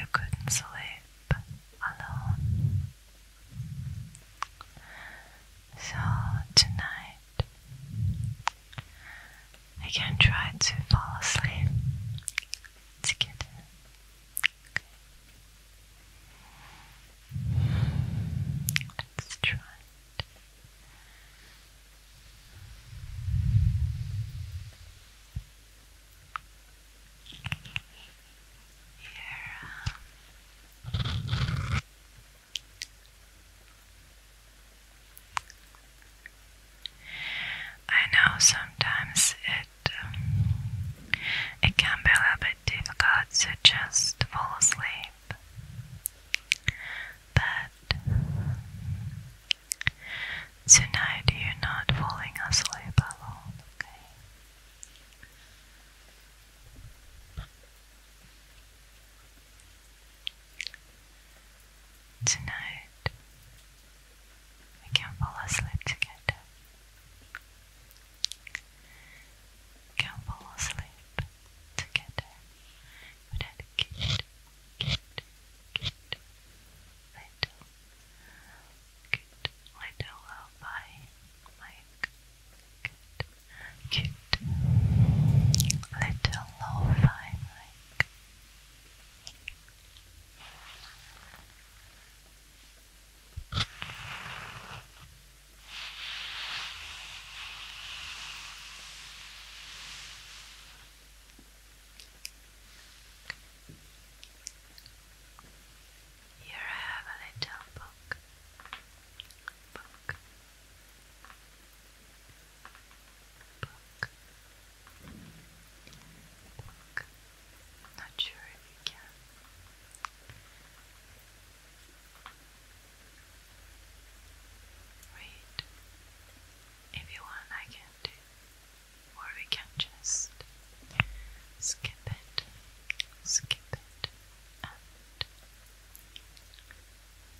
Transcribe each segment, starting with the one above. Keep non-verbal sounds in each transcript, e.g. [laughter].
You couldn't sleep alone. So tonight I can try to fall asleep Let's try it. Here, um, I know sometimes it um, it can be a little bit difficult to just fall asleep, but tonight you're not falling asleep alone, okay? Tonight, we can fall asleep together. can fall asleep together without kid, kid, kid, little, kid, little lullaby, like kid, kid, little lullaby, like. Here I have a little book, book, Book. Book. Not sure if you can. Read. If you want, I can do. Or we can just skip it, skip it,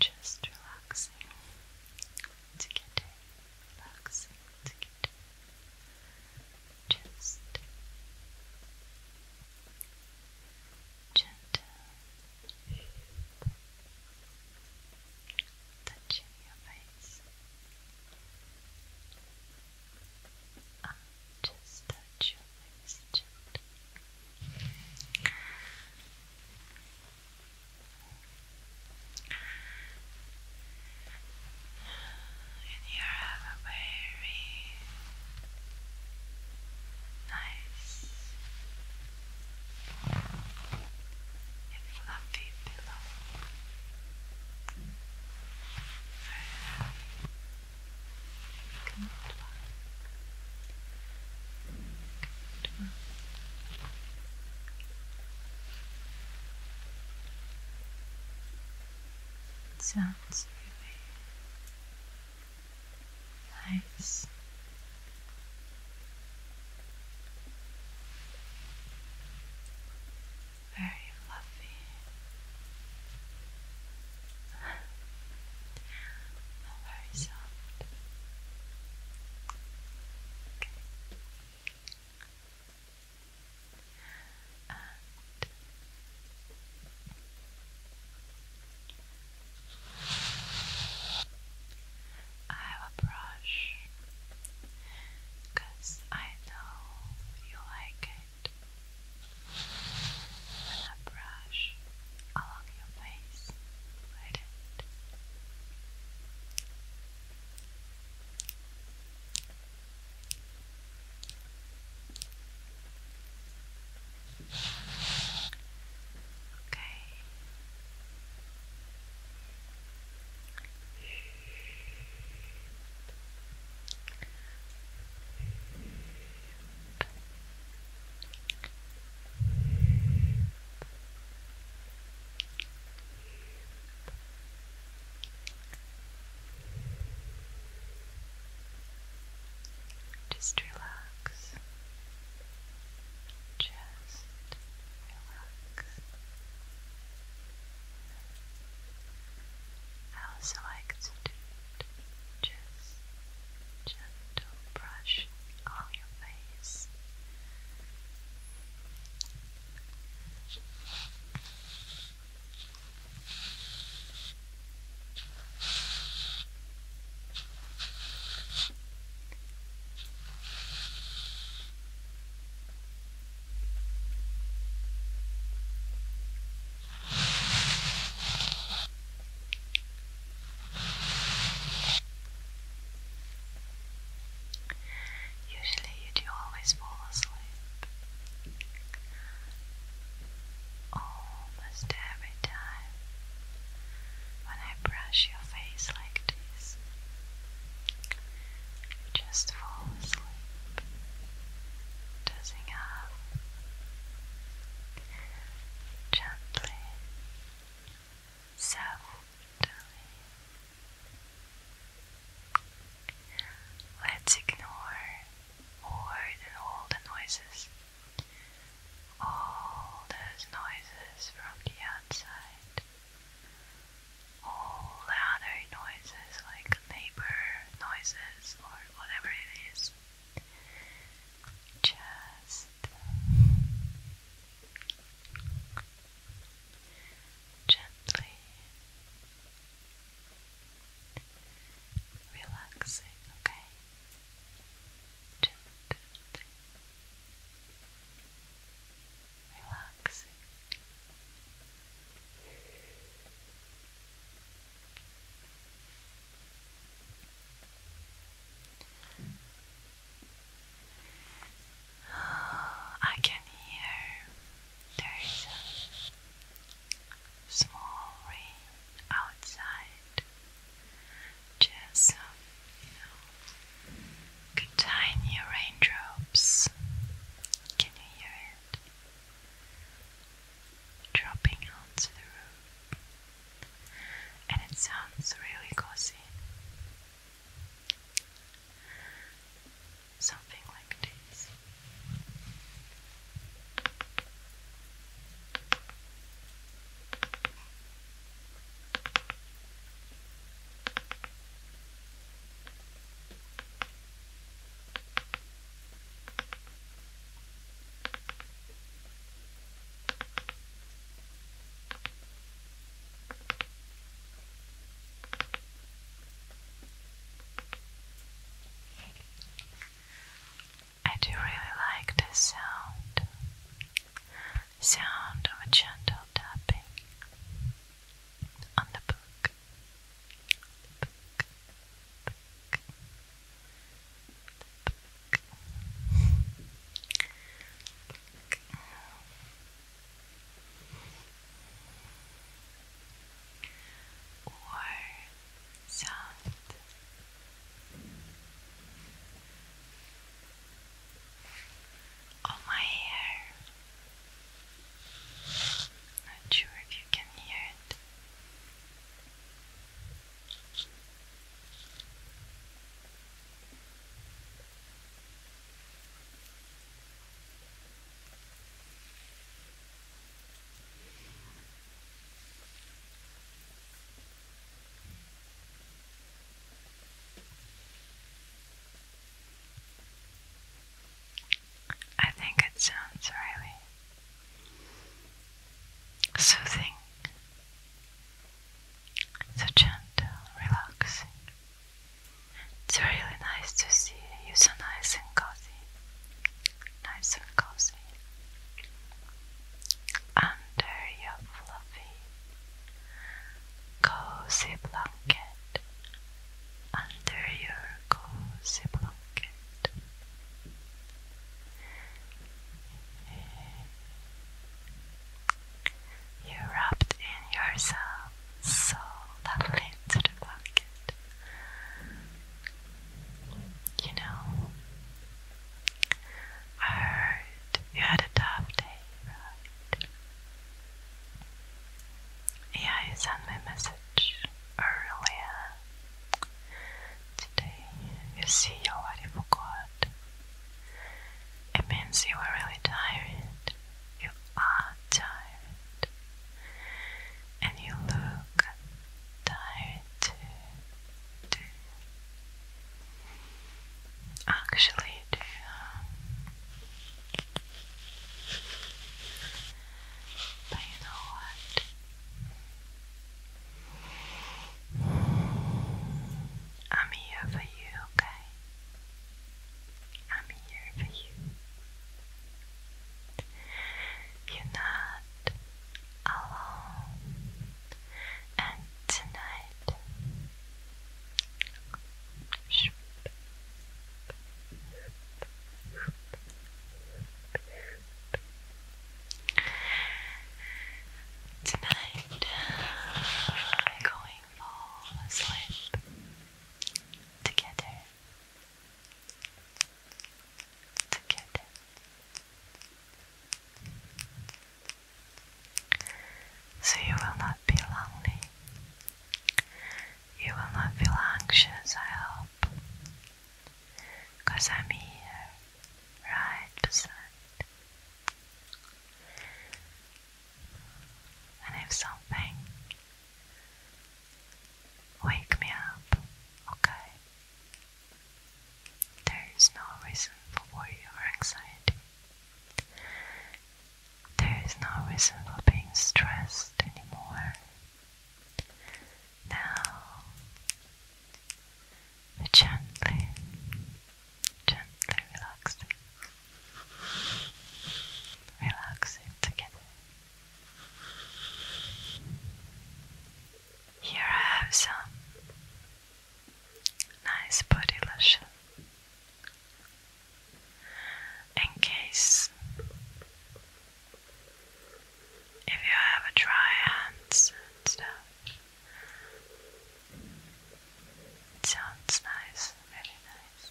just relaxing to get relaxing to get Just gentle touching your face. Um, just touch your face gently. And you have a very nice fluffy pillow. Very comfortable. Tomorrow. sounds really nice. Very fluffy. [laughs] not I have a brush I know you like it when brush along your face like that. Okay. Just relax. Just relax. I also like gentle brush on your face. Usually, you do always fall asleep almost every time when I brush your face like this. You just fall asleep, doesn't have gently so Let's ignore more than all the noises, all those noises from the outside, all the other noises like neighbor noises or whatever it is. Just, gently relaxing, okay? Gently relaxing. I can hear there's a small rain outside. Just some, you know, tiny raindrops. Can you hear it? dropping onto the roof, and it sounds really cozy. Something like this. I do really like this sound sound of a gentle tapping on the book or sound. On oh, my hair. Not sure if you can hear it. I think it sounds really soothing, so gentle, relaxing. It's really nice to see you so nice and cozy, nice and cozy under your fluffy, cozy blanket, under your cozy blanket. You wrapped in yourself so lovely into the blanket. You know, I heard you had a tough day, Yeah, you sent me a message earlier Today, you see you already forgot. It means you were really tired. You are tired. And you look tired too. Actually, do uh, But you know what? I'm here for you, okay? I'm here for you. You're not alone. And tonight, Tonight we're going to fall asleep together. Together. So you will not be lonely. You will not feel anxious, I hope. Cause I'm here, right beside. And if something, wake me up, okay? There is no reason for worry or anxiety. There is no reason for being stressed anymore. Now, gently, gently relax it. Relax it together. Here I have some nice body lotion. In case if you have dry hands and stuff. It sounds nice, really nice.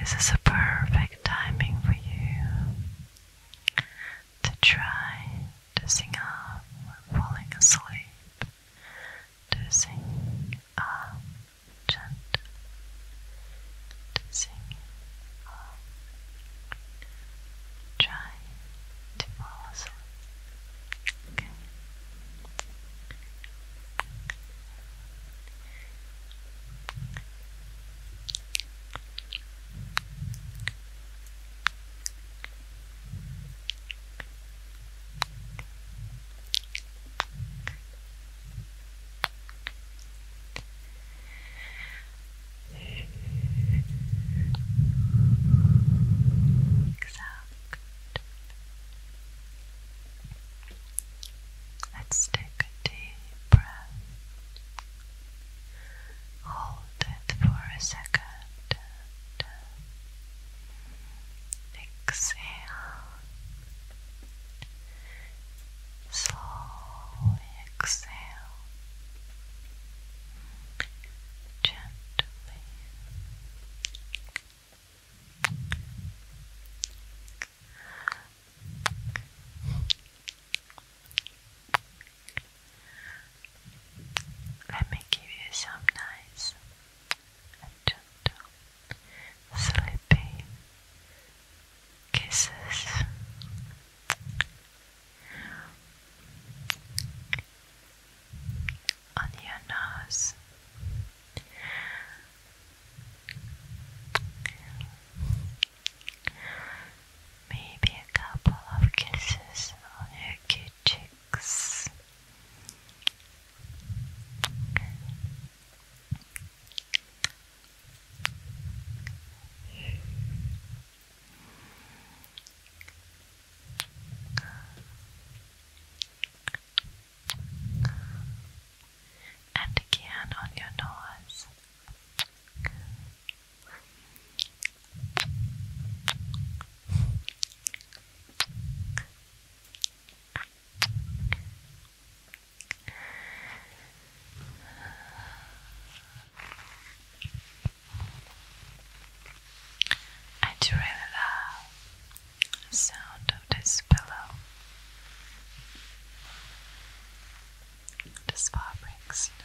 This is a perfect timing for you to try to sing up when falling asleep, to sing up gentle, to sing up Try to fall asleep. Okay. Exactly. Let's take a deep breath. Hold it for a second. exhale. Slowly exhale gently let me give you some nice gentle sleepy kisses on your nose. Maybe a couple of kisses on your cheeks. And again on your nose. I do really love the sound of this pillow. This fabrics, you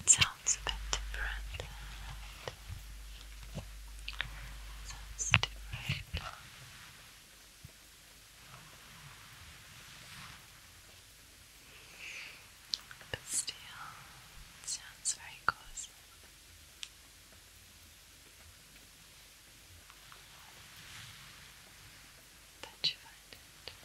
It sounds a bit different. Sounds different. But still, sounds very cozy. That you abundant.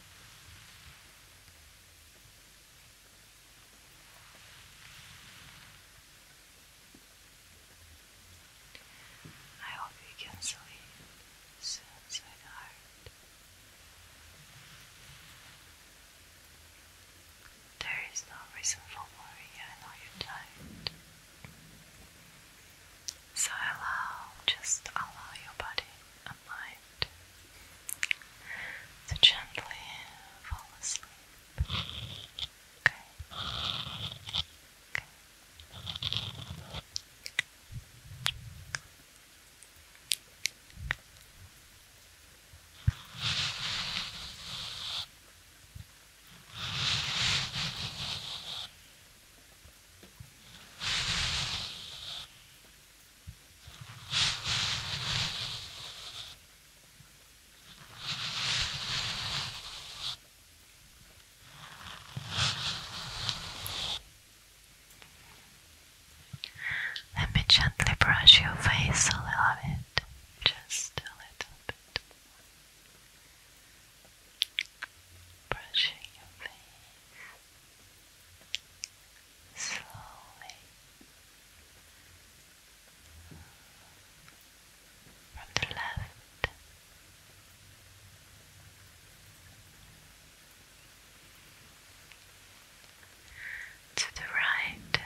I hope you can sleep soon, sweetheart. There is no reason for worry, I know you're tired. So allow, just allow your body light. gently fall asleep. Okay. Okay. Let me gently brush your face a little bit, just a little bit. Brushing your face slowly from the left to the right.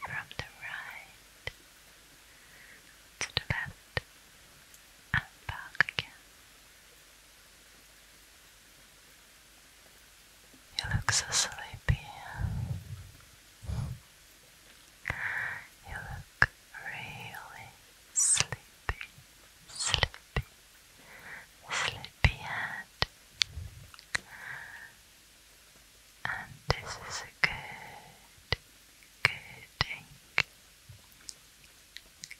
From the right to the left and back again. You look so sleepy. You look really sleepy, sleepy, sleepy And this is good Good ink.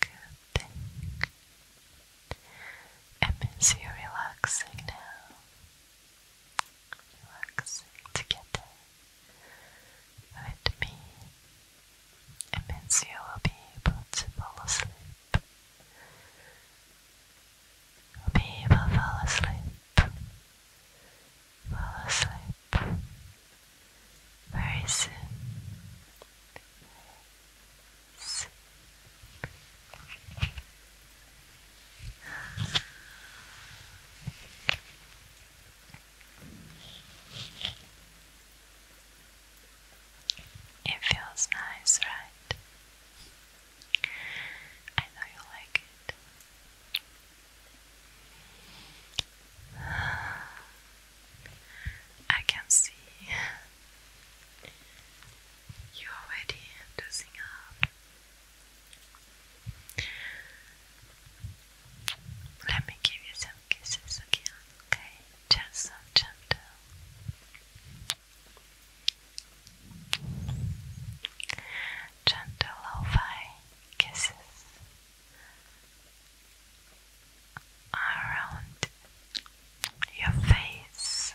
Good ink. It means you're relaxing now. Relaxing together with me. It means you will be able to fall asleep. You'll be able to fall asleep fall asleep very soon. It feels nice, right? I know you like it. I can see you already dozing up. Let me give you some kisses again, okay? Just some gentle gentle lo kisses around your face.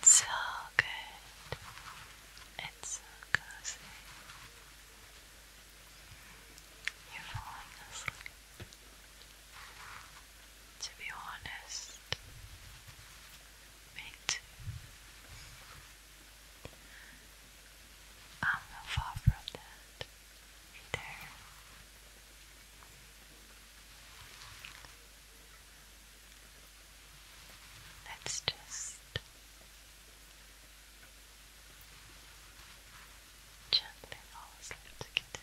It's so good. It's so cozy. You're falling To be honest, me I'm not far from that there. Let's just gently fall asleep together.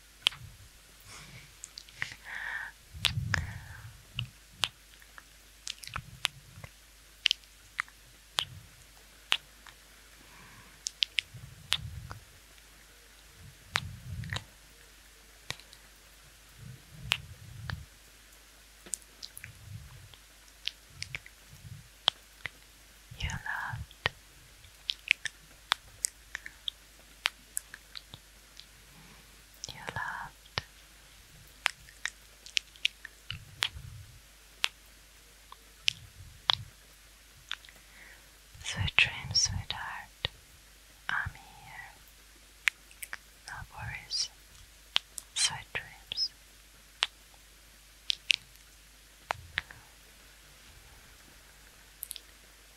You loved you loved. Sweet dreams, sweetheart. I'm here. No worries. Sweet dreams.